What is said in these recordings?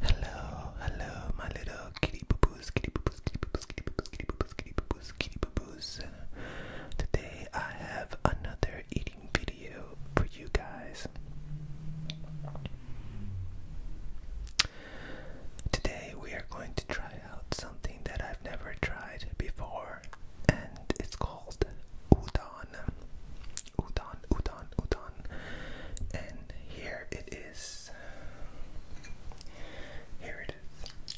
Hello, hello, my little kitty boos, kitty boos, kitty boos, kitty boos, kitty boos, kitty boos, kitty boos. Today I have another eating video for you guys. Today we are going to try out something that I've never tried before, and it's called udon udon, udon, udon, and here it is. Here it is.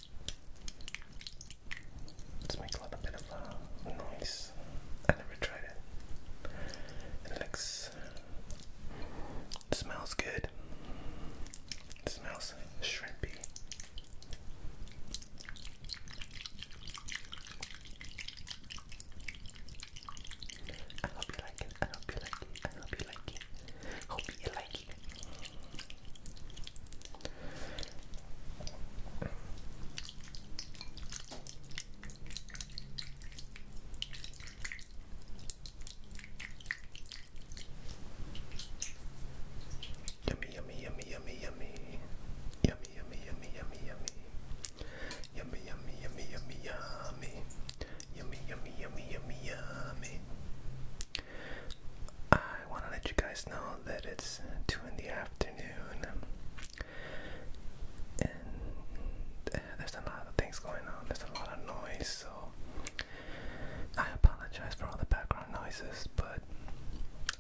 Let's make a little bit of a uh, noise. I never tried it. It looks, smells good. smells shrimpy. I hope you like it. I hope you like it. I hope you like it. Hope you like it. Yummy, yummy, yummy, yummy, yummy, yummy, yummy, yummy, yummy, yummy. Yummy, yummy, yummy, yummy, yummy. Yummy, yummy, yummy, yummy, yummy. I want to let you guys know that it's 2 in the afternoon. And eh, there's a lot of things going on, there's a lot of noise, so I apologize for all the background noises, but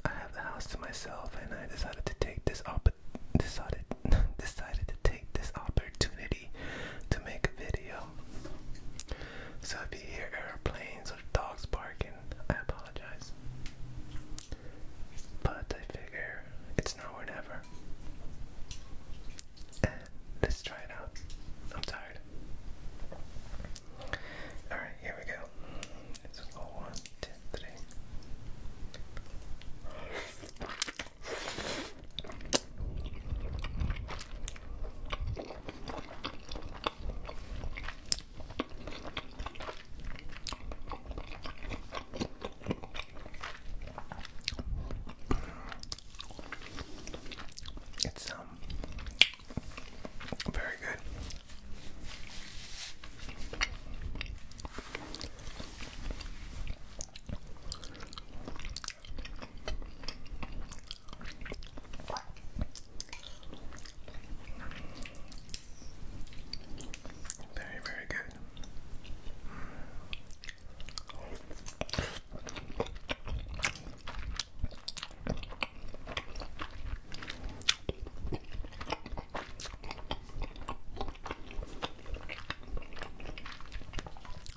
I have the house to myself and I decided to take this, op this, audit, decided to take this opportunity to make a video. So if you hear airplanes or dogs barking, I apologize. But I figure it's now or never. let's try it out. I'm tired. Alright, here we go. This is tendré. It's um very good. Very, very good.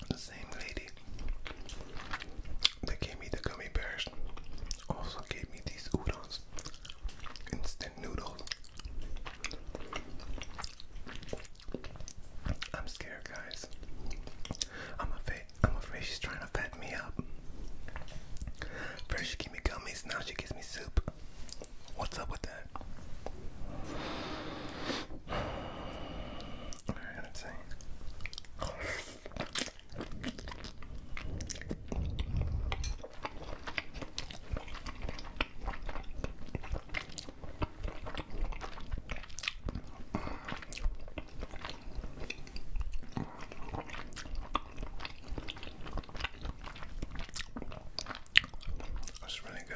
The same lady that gave me the gummy also gave me these udons, instant noodles. I'm scared, guys. I'm afraid. I'm afraid she's trying to fat me up. First give me gummies, now she gives me soup. What's up with that? That's really good.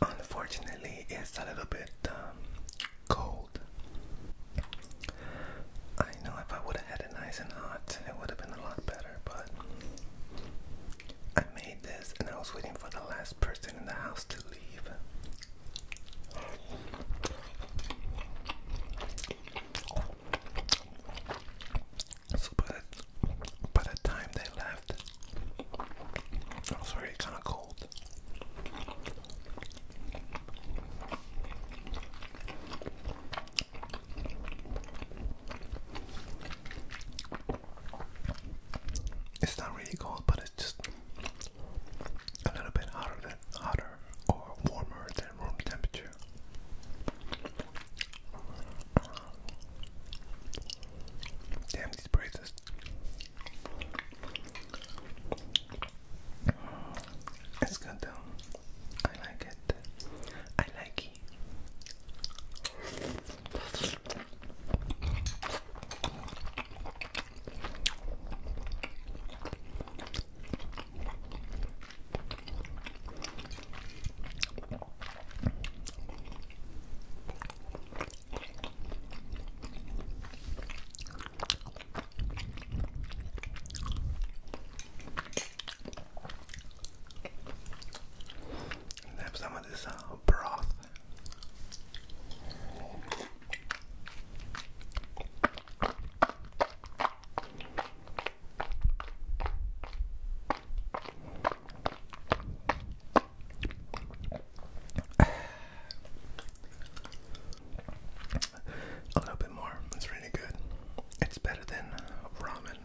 Unfortunately, it's a little bit um, cold. I know if I would have had it nice and hot, it would have been a lot better, but I made this and I was waiting for the last person in the house to leave. So by by the time they left, I was already kind of it's not really cold, but it's just a little bit hotter hotter or warmer than room temperature. Damn these braces. It's good though. I like it. I like it. And have some of this uh, broth. A little bit more. It's really good. It's better than ramen,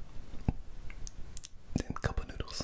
than cup noodles.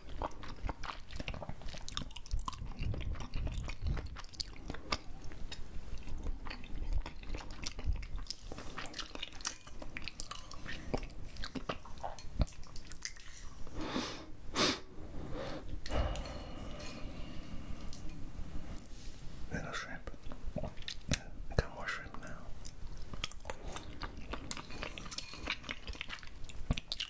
Little shrimp. I got more shrimp now.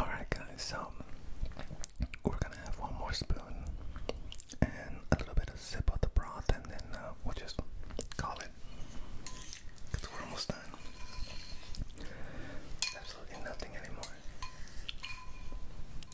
Alright, guys, so we're gonna have one more spoon and a little bit of sip of the broth, and then uh, we'll just call it because we're almost done. Absolutely nothing anymore.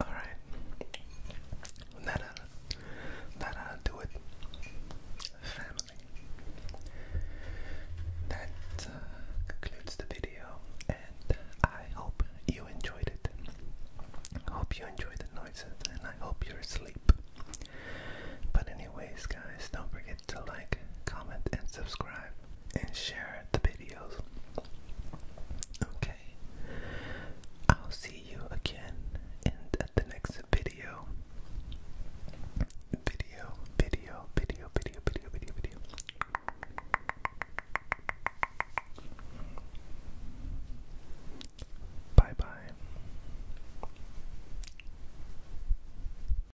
Alright. That'll, do it. Family. That uh, concludes the video, and I hope you enjoyed it. I hope you enjoyed the noises, and I hope you're asleep. But, anyways, guys, don't forget to like, comment, and subscribe and share the videos. Okay, I'll see you again in at the next video. Video, video, video, video, video, video, video. Bye bye.